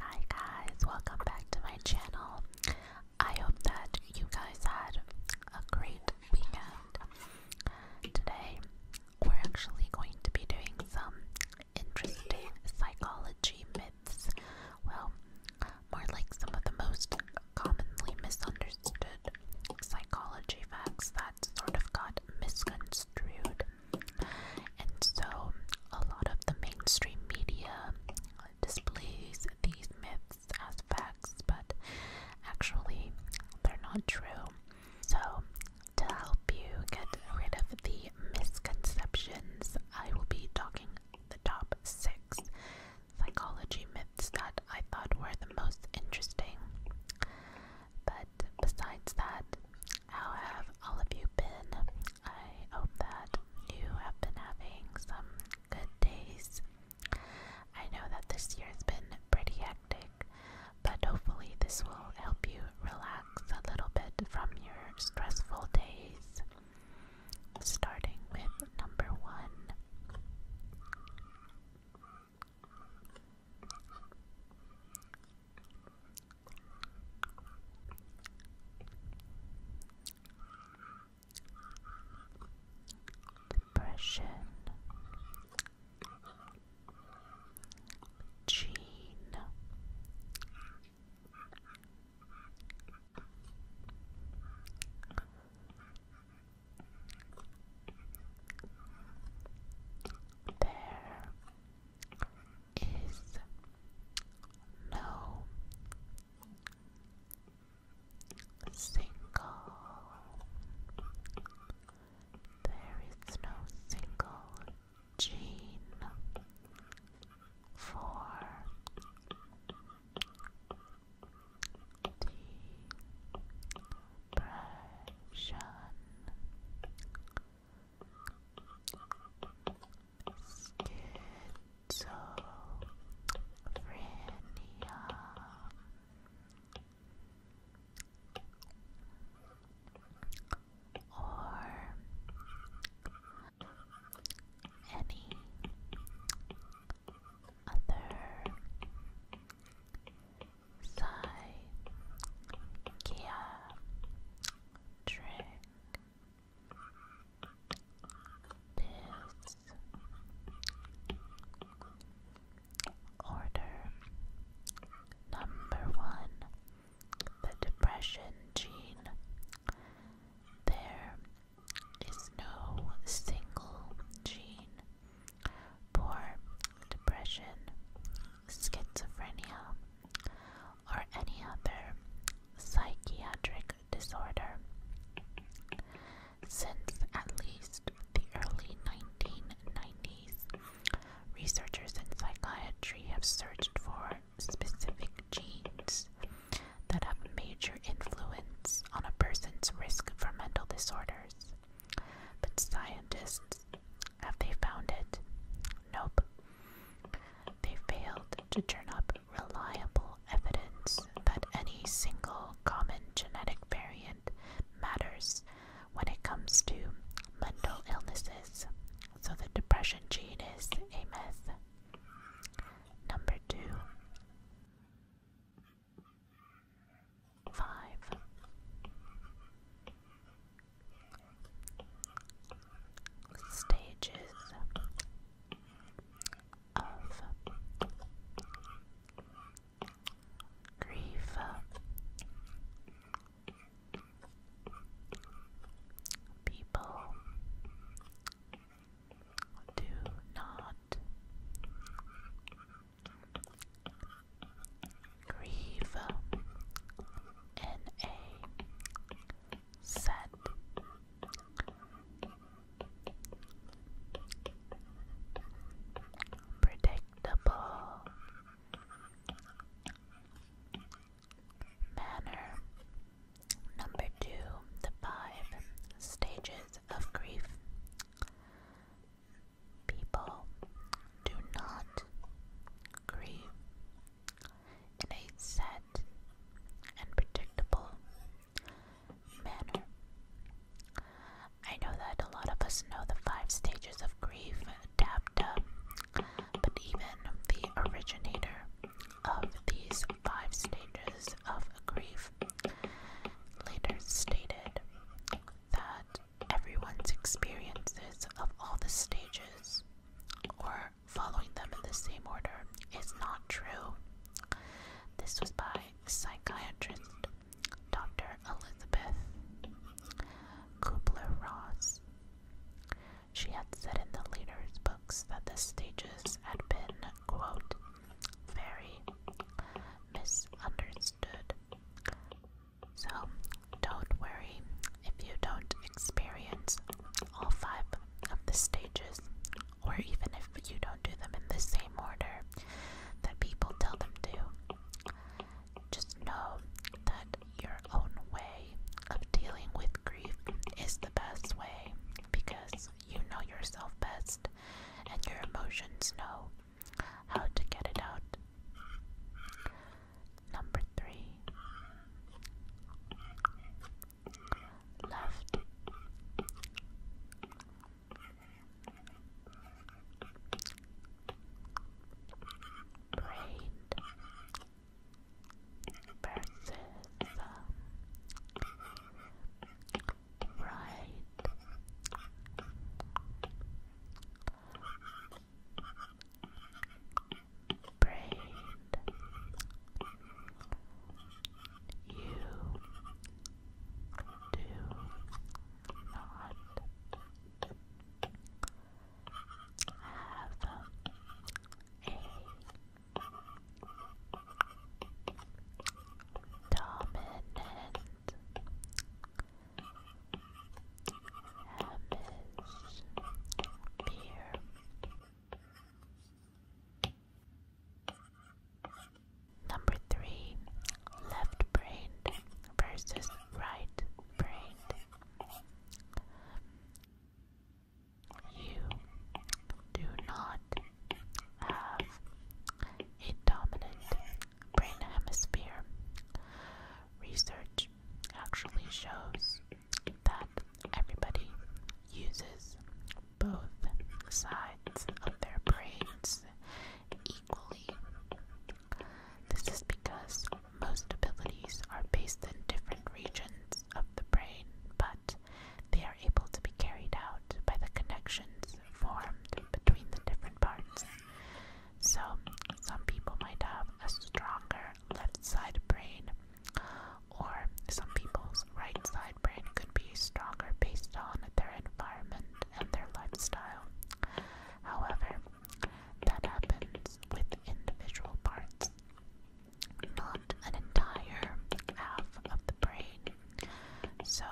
Hi guys, welcome back to my channel. I hope that you guys had a great weekend. Today, we're actually going to be doing some interesting psychology myths. Well, more like some of the most commonly misunderstood psychology facts that sort of got misconstrued and so, a lot of the mainstream media displays these myths as facts, but actually, they're not true. So, to help you get rid of the misconceptions, I will be talking the top six psychology myths that I thought were the most interesting. But besides that, how have all of you been? I hope that you have been having some good days. I know that this year has been pretty hectic, but hopefully, this will help you relax a little bit from your stressful days. Starting with number one depression, gene. There, is no single. There is no single gene for depression. Schizophrenia. Or any other Sai This Order Number one The Depression Gene There is no single gene for depression, schizophrenia, or any other psychiatric disorder. Since at least the early 1990s, researchers in psychiatry have searched for specific genes that have major influence on a person's risk for mental disorders. But scientists have they found it? Nope. They failed to turn up reliable evidence that any single common genetic variant matters when it comes to mental illnesses. So the depression gene is a myth. Number two five, stages of grief. People do not Grieve in set predictable manner. Number two, the five stages of grief people do not grieve in a set and predictable manner. I know that a lot of us know the five stages of grief, DAPTA, but even the originator of these five stages of grief later stated that everyone's experiences of all the stages or following them in the same order is not true. This was by psychiatrist Dr. Elizabeth Kubler Ross. She had said in the leaders' books that the stages had been, quote, very misunderstood, so don't worry if you don't experience all five of the stages, or even if you don't do them in the same order that people tell them to. Just know that your own way of dealing with grief is the best way because you know yourself best and your emotions know how to get it out. Number three left brain versus um, right. Braid. You do not have a Dominant Hemisphere Number three, left brained versus right brained. You do not have a dominant brain hemisphere. Research actually shows that everybody uses both sides of their brains equally. This is because most abilities are based in different regions of the brain, but they are able to be carried out by the connections formed between the different parts. So, some people might have a stronger left side brain, or some people's right side brain could be stronger based on their environment and their lifestyle. However, that happens with individual parts, not an entire half of the brain. So,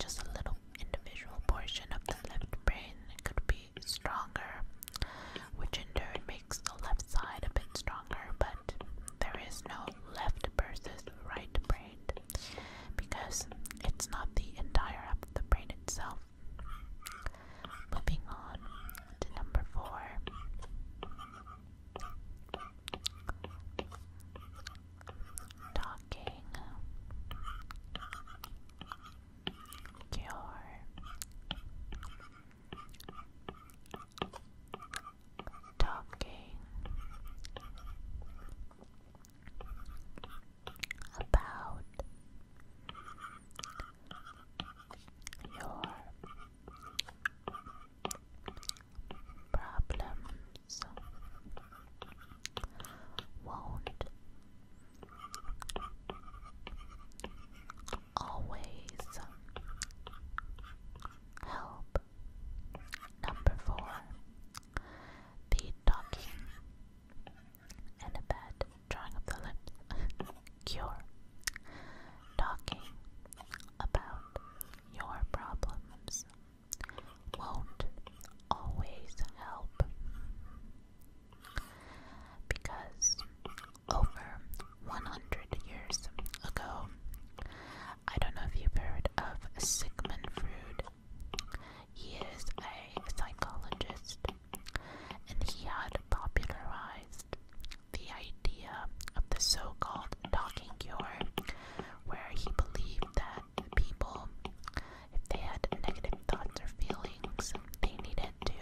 just a little individual portion of the left brain could be stronger, which in turn makes the left side a bit stronger, but there is no left versus right brain because it's not the entire of the brain itself. Moving on to number four talking cure talking about your problems won't always help. Number four, the talking and a bad drawing of the lips cure. Talking about your problems won't always help because over 100 years ago, I don't know if you've heard of Sigmund Freud. He is a psychologist and he had popularized the idea of the so called talking cure where he believed that people, if they had negative thoughts or feelings, they needed to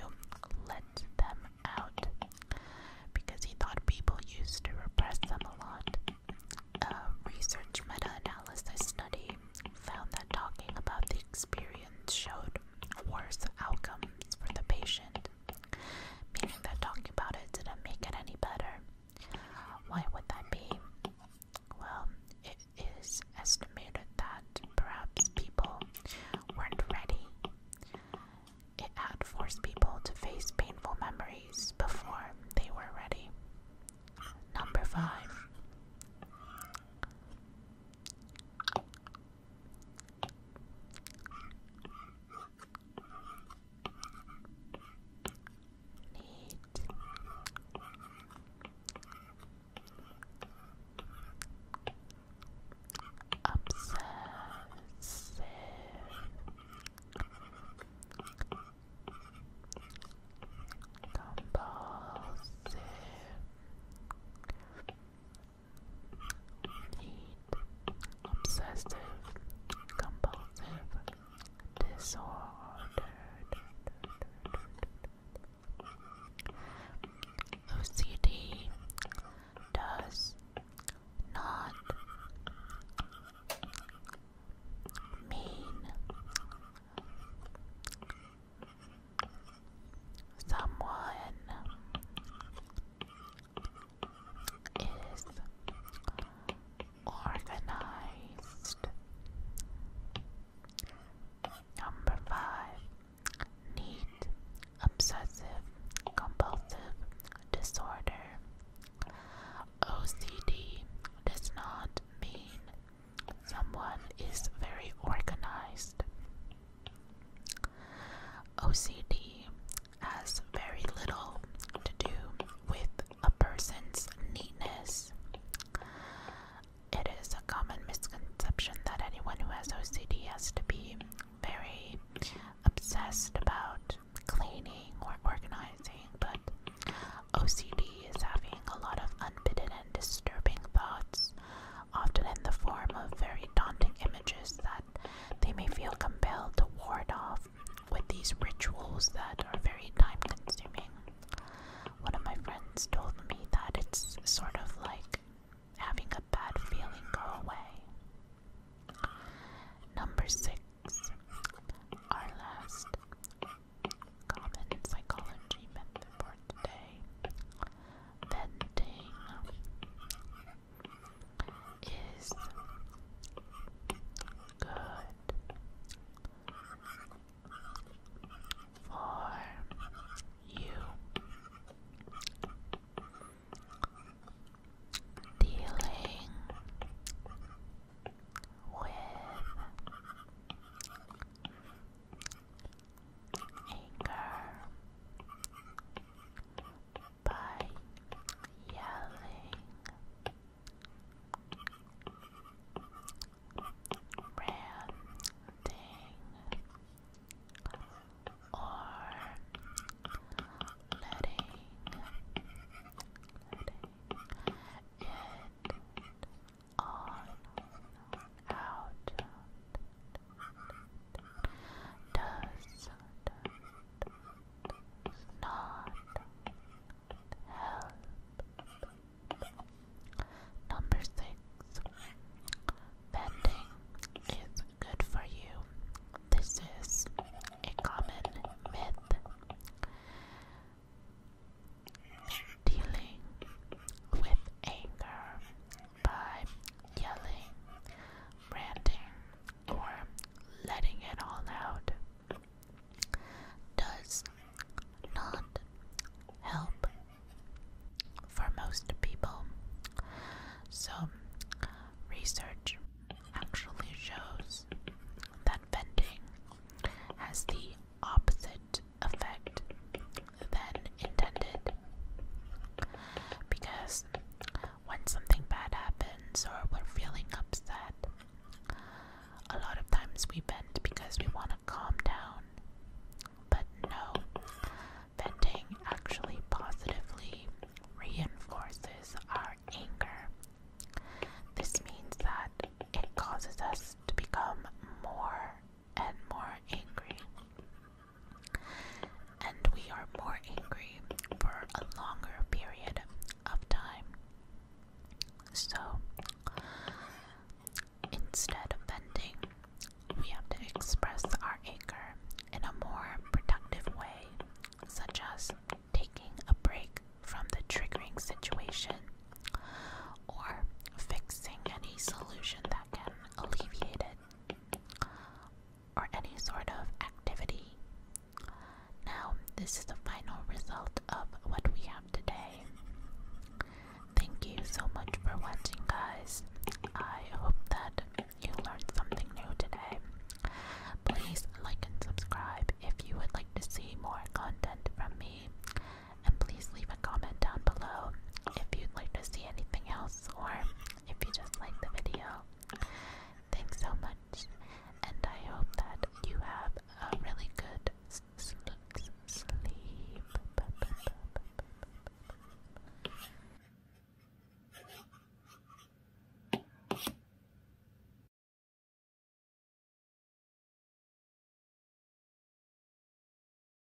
let them out. Because he thought people used to repress them a lot. A research meta analysis study found that talking about the experience showed worse outcomes for the patient, meaning that talking about it didn't make it any better. Why would that be? Well, it is estimated that perhaps people weren't ready. It had forced people to face painful memories before they were ready. Number five. Obsessive. Compulsive obsessive compulsive disorder OCD does not mean someone is organized. Number five, neat, obsessive, compulsive disorder. OCD does not mean someone is very organized. OCD has very little to do with a person's neatness. It is a common misconception that anyone who has OCD has to be very obsessed about cleaning or organizing, but OCD is having a lot of unbidden and disturbing thoughts, often in the form of very daunting images that they may feel compelled to ward off with these rituals that are very time consuming. One of my friends told me that it's sort of like having a bad feeling go away. Number six, our last common psychology method for today venting is good for you. Dealing with anger by yelling ranting or letting, letting on out does, not help. Number six, bending is good for you. This is a common myth. Dealing with anger by yelling, ranting, or letting it all out does not help for most people. So, research actually shows that venting has the opposite effect than intended. Because when something bad happens or we're feeling upset, a lot of times we bend because we want to calm down. But no, venting actually positively reinforces our anger. This means that it causes us to become more and more angry. And we are more angry for a longer period of time. So, instead of venting, we have to express our anger in a more productive way, such as taking a break from the triggering situation or fixing any solution that can alleviate it or any sort of activity. Now, this is the final result of what we have today. Thank you so much for watching, guys. I hope that you learned something new today. Please like and subscribe if you would like to see more content from me. And please leave a comment down below if you'd like to see anything else or if you just like the video. Thanks so much, and I hope that you have a really good sleep.